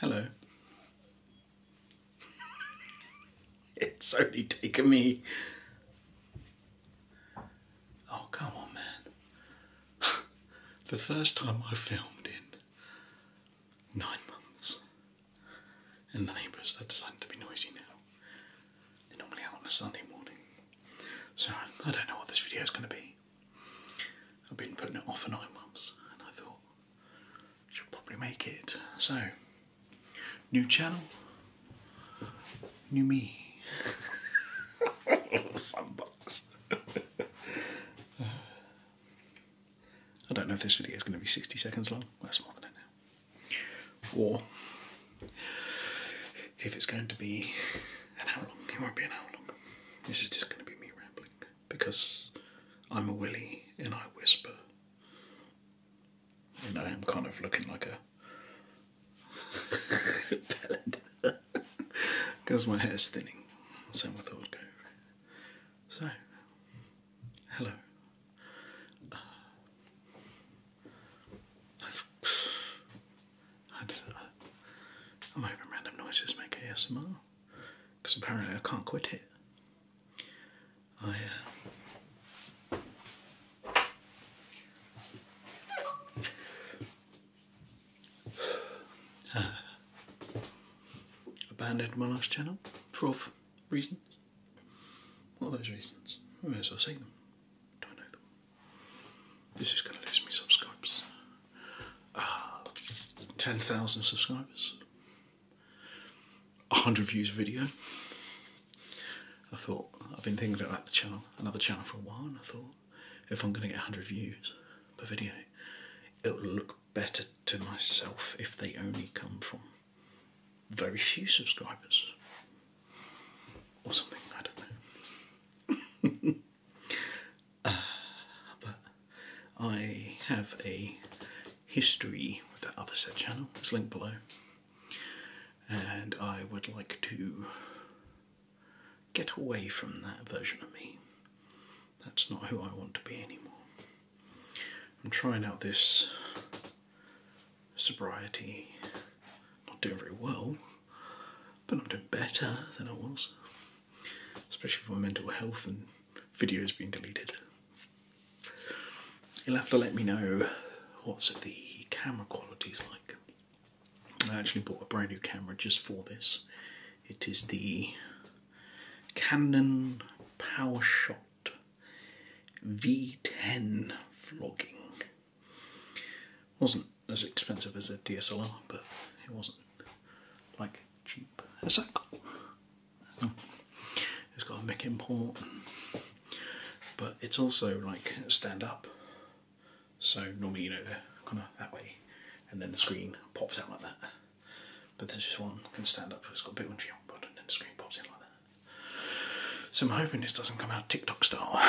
Hello. it's only taken me Oh, come on, man. the first time I filmed in nine months, and the neighbours are deciding to be noisy now. They're normally out on a Sunday morning. So, I don't know what this video is going to be. I've been putting it off for nine months, and I thought I should probably make it. So, New channel, new me. Sunbox. I don't know if this video is going to be 60 seconds long. That's more than it now. Or if it's going to be an hour long. It won't be an hour long. This is just going to be me rambling because I'm a Willy and I whisper. You know, I'm kind of looking like a ballad. because my hair's thinning, so I thought So, hello. Uh, I, am hoping random noises make ASMR, because apparently I can't quit it. I, uh, uh, abandoned my last channel for off reasons. What are those reasons? I may as well see them. Don't know them. This is going to lose me subscribers. Ah, 10,000 subscribers. 100 views a video. I thought I've been thinking about that channel, another channel for a while, I thought if I'm going to get 100 views per video, it'll look better to myself if they only come from very few subscribers or something. I don't know. Ah, but I have a history with that other said channel. It's linked below and I would like to get away from that version of me. That's not who I want to be anymore. I'm trying out this sobriety, not doing very well, but I'm doing better than I was, especially with my mental health and videos being deleted you'll have to let me know what the camera quality's like. I actually bought a brand new camera just for this. It is the Canon PowerShot V10 vlogging. Wasn't as expensive as a DSLR, but it wasn't like cheap. It's got a mic import but it's also like stand up. So normally, you know, they're kind of that way, and then the screen pops out like that. But this just one can stand up, because it's got a bit on the bottom, and then the screen pops in like that. So I'm hoping this doesn't come out TikTok style,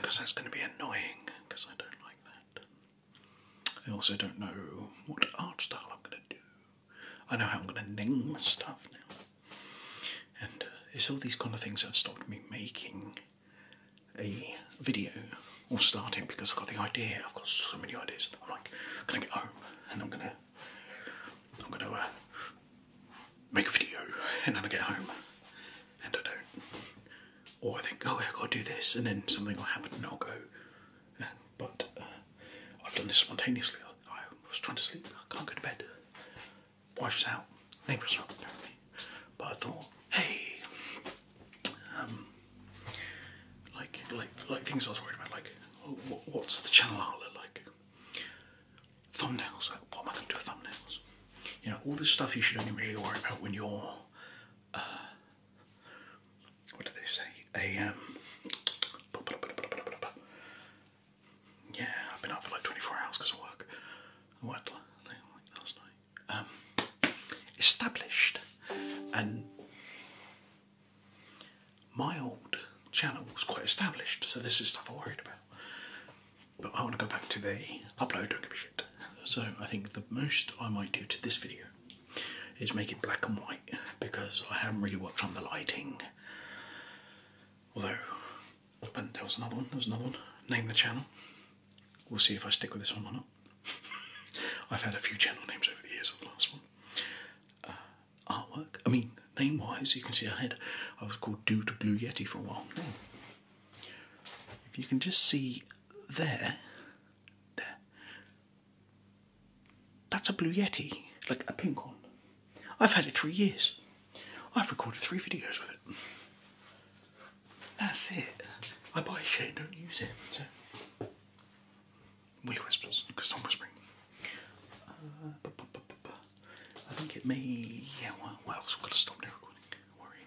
because that's going to be annoying, because I don't like that. I also don't know what art style I'm going to do. I know how I'm going to name stuff now. And uh, it's all these kind of things that have stopped me making a video or starting because I've got the idea. I've got so many ideas. I'm like, I'm gonna get home and I'm gonna, I'm gonna uh, make a video, and then I get home and I don't. Or I think, oh, I gotta do this, and then something will happen, and I'll go. Uh, but I've done this spontaneously. I was trying to sleep. I can't go to bed wipes out. Nate was wrong apparently. But I thought, hey, um, like, like, like things I was worried about, like, what's the channel outlet like? Thumbnails, what am I going to do with thumbnails? You know, all this stuff you should only really worry about when you're, uh, what do they say? A, um, yeah, I've been up for like 24 hours because of work. I worked last night. Um, established and my old channel was quite established, so this is stuff I worried about. But I want to go back to the upload, don't give a shit. So I think the most I might do to this video is make it black and white because I haven't really worked on the lighting. Although and there was another one, there was another one. Name the channel. We'll see if I stick with this one or not. I've had a few channel names over the years of the last one. Uh, artwork. I mean, name wise, you can see I had, I was called Dude Blue Yeti for a while. If you can just see there, there, that's a Blue Yeti, like a pink one. I've had it three years. I've recorded three videos with it. That's it. I buy shit don't use it. we Willy whispers, because I'm whispering. Uh, I think it may. Yeah, well, what else? I've got to stop now recording. Worrying.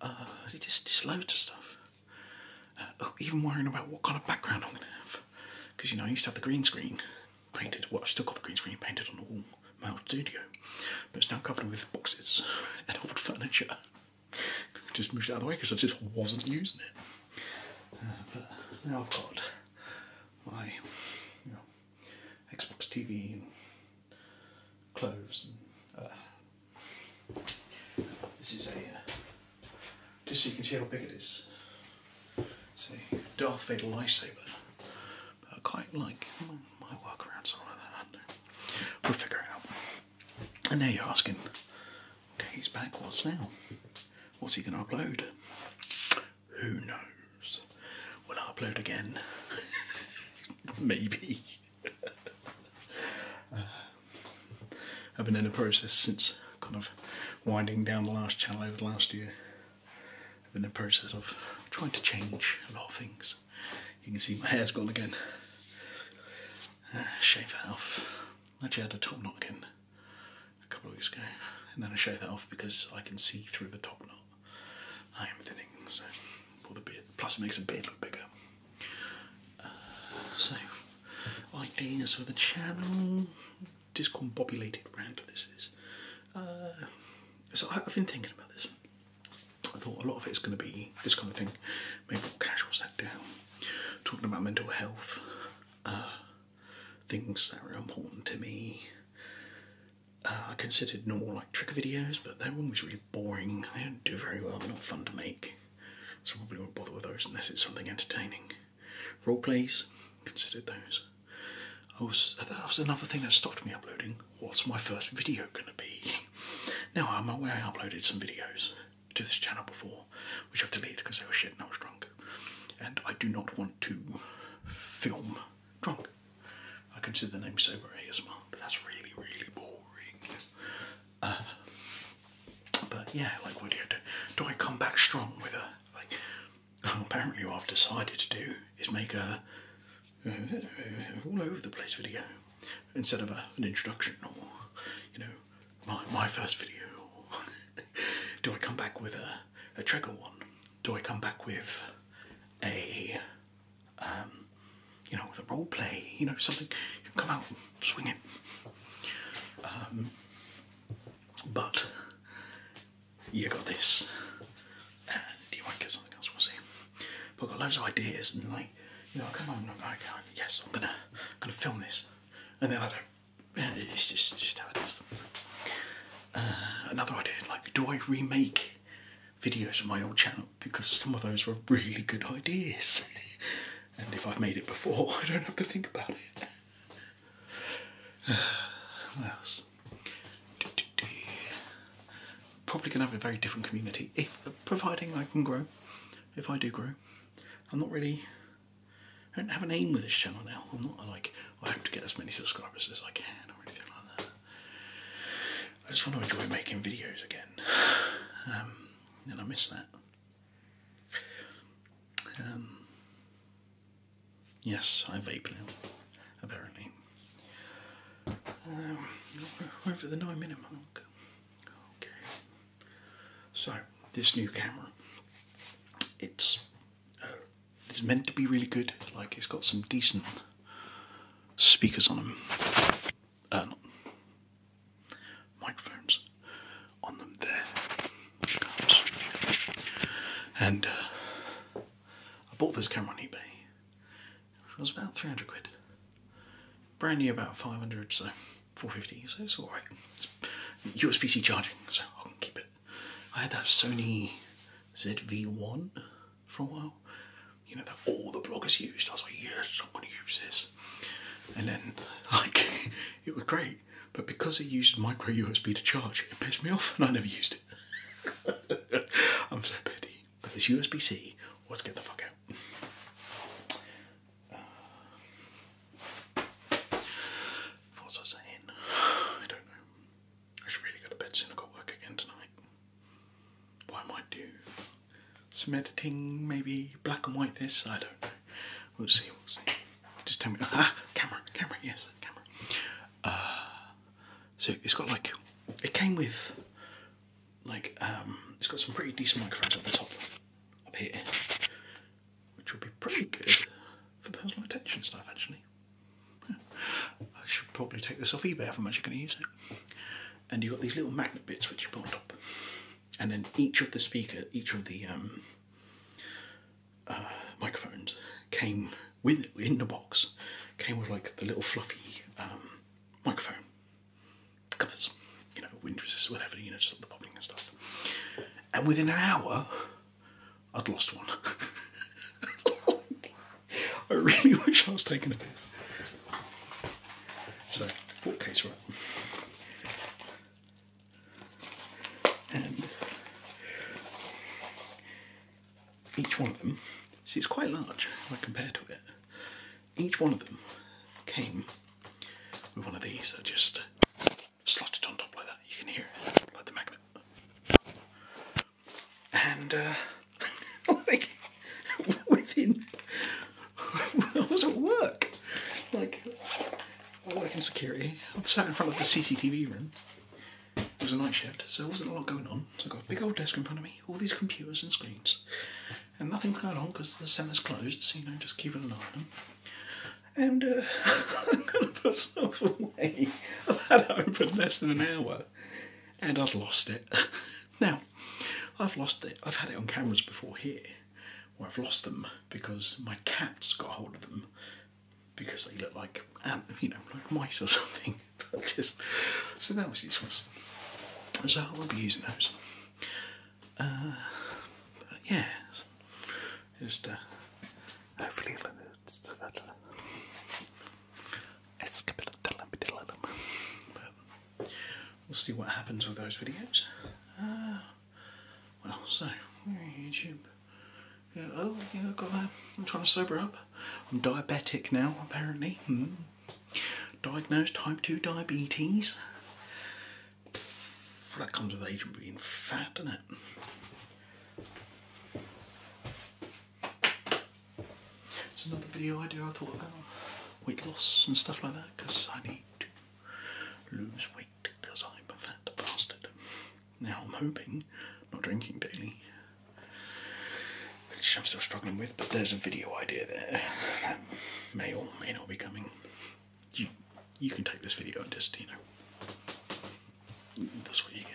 Uh, it just, just loads of stuff. Uh, oh, even worrying about what kind of background I'm going to have. Because, you know, I used to have the green screen painted. Well, I've still got the green screen painted on the wall, my old studio, but it's now covered with boxes and old furniture. just moved it out of the way because I just wasn't using it. Uh, but now I've got my Xbox TV clothes. And, uh, this is a uh, just so you can see how big it is. It's a Darth Vader lightsaber. I quite like my, work around something like that. We'll figure it out. And now you're asking, okay, he's back. What's now? What's he going to upload? Who knows? Will I upload again? Maybe. I've been in the process since kind of winding down the last channel over the last year I've been in the process of trying to change a lot of things. You can see my hair's gone again. Uh, shave that off. I Actually, had a top knot again a couple of weeks ago, and then I shaved that off because I can see through the top knot. I am thinning, so Plus, it makes the beard look bigger. Uh, so, ideas for the channel discombobulated rant this is. Uh, so I, have been thinking about this. I thought a lot of it's going to be this kind of thing. Maybe casual sat down, talking about mental health, uh, things that are important to me. Uh, I considered normal like trick videos, but that one was really boring. They don't do very well. They're not fun to make. So probably won't bother with those unless it's something entertaining. Role plays, considered those that was another thing that stopped me uploading. What's my first video gonna be? now I'm aware I uploaded some videos to this channel before, which I've deleted because I was shit and I was drunk. And I do not want to film drunk. I can consider the name sober well, but that's really, really boring. Uh, but yeah, like what do I do? Do I come back strong with a like Oh, apparently what I've decided to do is make a uh, uh, all over the place video instead of a, an introduction or you know my, my first video do I come back with a, a trigger one do I come back with a um, you know with a role play you know something come out and swing it um, but you got this. And you might get something else, we'll see. But I've got loads of ideas and like, you know, I come home and I'm like, okay, yes, I'm gonna, gonna film this. And then I don't, it's just, just how it is. Uh, another idea, like, do I remake videos from my old channel? Because some of those were really good ideas. and if I've made it before, I don't have to think about it. what else? Probably going to have a very different community, if providing I can grow, if I do grow. I'm not really, I don't have an aim with this channel now. I'm not like, I hope to get as many subscribers as I can or anything like that. I just want to enjoy making videos again. Um, and I miss that. Um, Yes, I vape now, apparently. Um, we the nine minute mark. Okay. So, this new camera, it's uh, it's meant to be really good. Like, it's got some decent speakers on them. Uh, not microphones on them there. And uh, I bought this camera on eBay. which was about 300 quid. Brand new about 500, so 450, so it's alright. It's USB-C charging, so I can keep it. I had that Sony ZV-1 for a while. You know, that all the bloggers used. I was like, yes, I'm going to use this. And then, like, it was great. But because it used micro USB to charge, it pissed me off and I never used it. I'm so petty. But this USB C, let's get the fuck out. Uh, what was I saying? I don't know. I should really go to bed soon. I've got work again tonight. What I might do some editing, maybe black and white this, I don't know. We'll see, we'll see. Just tell me. Ah, camera, camera, yes, camera. Uh, so it's got like, it came with like, um, it's got some pretty decent microphones at the top, up here, which would be pretty good for personal attention stuff actually. I should probably take this off eBay if I'm actually going to use it. And you've got these little magnet bits which you put on top. And then each of the speaker, each of the um, uh, microphones came with in the box came with like the little fluffy um, microphone covers, you know, wind resist, whatever, you know, stop the popping and stuff. And within an hour, I'd lost one. I really wish I was taking a piss. So, what case right? each one of them, see it's quite large I compare to it, each one of them came with one of these I just slotted on top like that. You can hear it, like the magnet. And uh, like within, I was at work. Like I work in security. I'm sat in front of the CCTV room, it was a night shift, so there wasn't a lot going on. So I've got a big old desk in front of me, all these computers and screens, and nothing's going on because the centre's closed, so you know, just keeping an eye on them. And uh, I'm going to put myself away. I've had it open less than an hour, and I've lost it. now, I've lost it. I've had it on cameras before here, where I've lost them because my cats got hold of them because they look like um, you know, mice or something. so that was useless. So I won't be using those. Uh, but yeah, just uh, hopefully it's a little. But we'll see what happens with those videos. Uh, well, so YouTube oh, yeah, I'm trying to sober up. I'm diabetic now, apparently. Hmm. Diagnosed type 2 diabetes. Well, that comes with age and being fat, doesn't it? It's another video idea I thought about weight loss and stuff like that because I need to lose weight because I'm a fat bastard. Now I'm hoping, not drinking daily, which I'm still struggling with, but there's a video idea there that may or may not be coming. You, you can take this video and just, you know, that's what you get.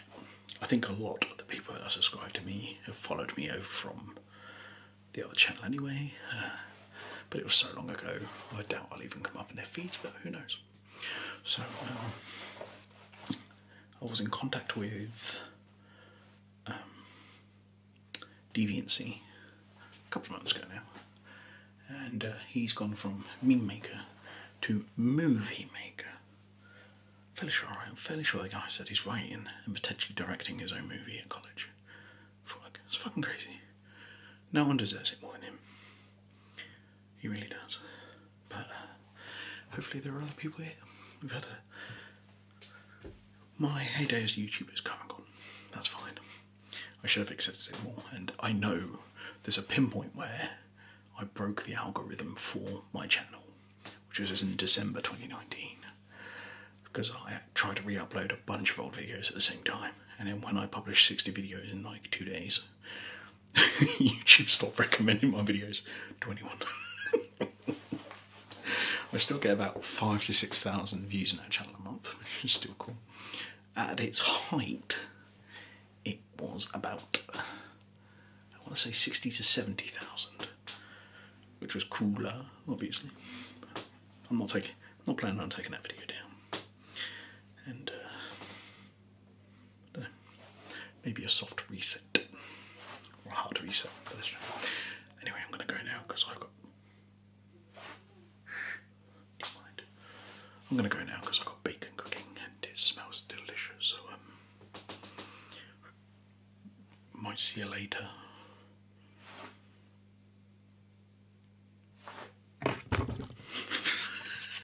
I think a lot of the people that are subscribed to me have followed me over from the other channel anyway, uh, but it was so long ago, I doubt I'll even come up in their feeds, but who knows. So I was in contact with um, a couple of months ago now, and uh, he's gone from meme maker to movie maker. fairly sure, I'm fairly sure the guy said he's writing and potentially directing his own movie at college. it's fucking crazy. No one deserves it more than him. He really does. But uh, hopefully there are other people here. We've had a... My heyday as a YouTuber is coming on. That's fine. I should have accepted it more. And I know there's a pinpoint where I broke the algorithm for my channel, which was in December 2019. Because I tried to re-upload a bunch of old videos at the same time. And then when I published 60 videos in like two days, YouTube stopped recommending my videos to anyone. I still get about five to six thousand views on that channel a month, which is still cool. At its height, it was about I want to say sixty to seventy thousand, which was cooler, obviously. I'm not taking, I'm not planning on taking that video down. And uh, Maybe a soft reset or a hard reset. Anyway, I'm going to go now because I've got. I'm going to go now because I've got bacon cooking and it smells delicious. So, um, might see you later.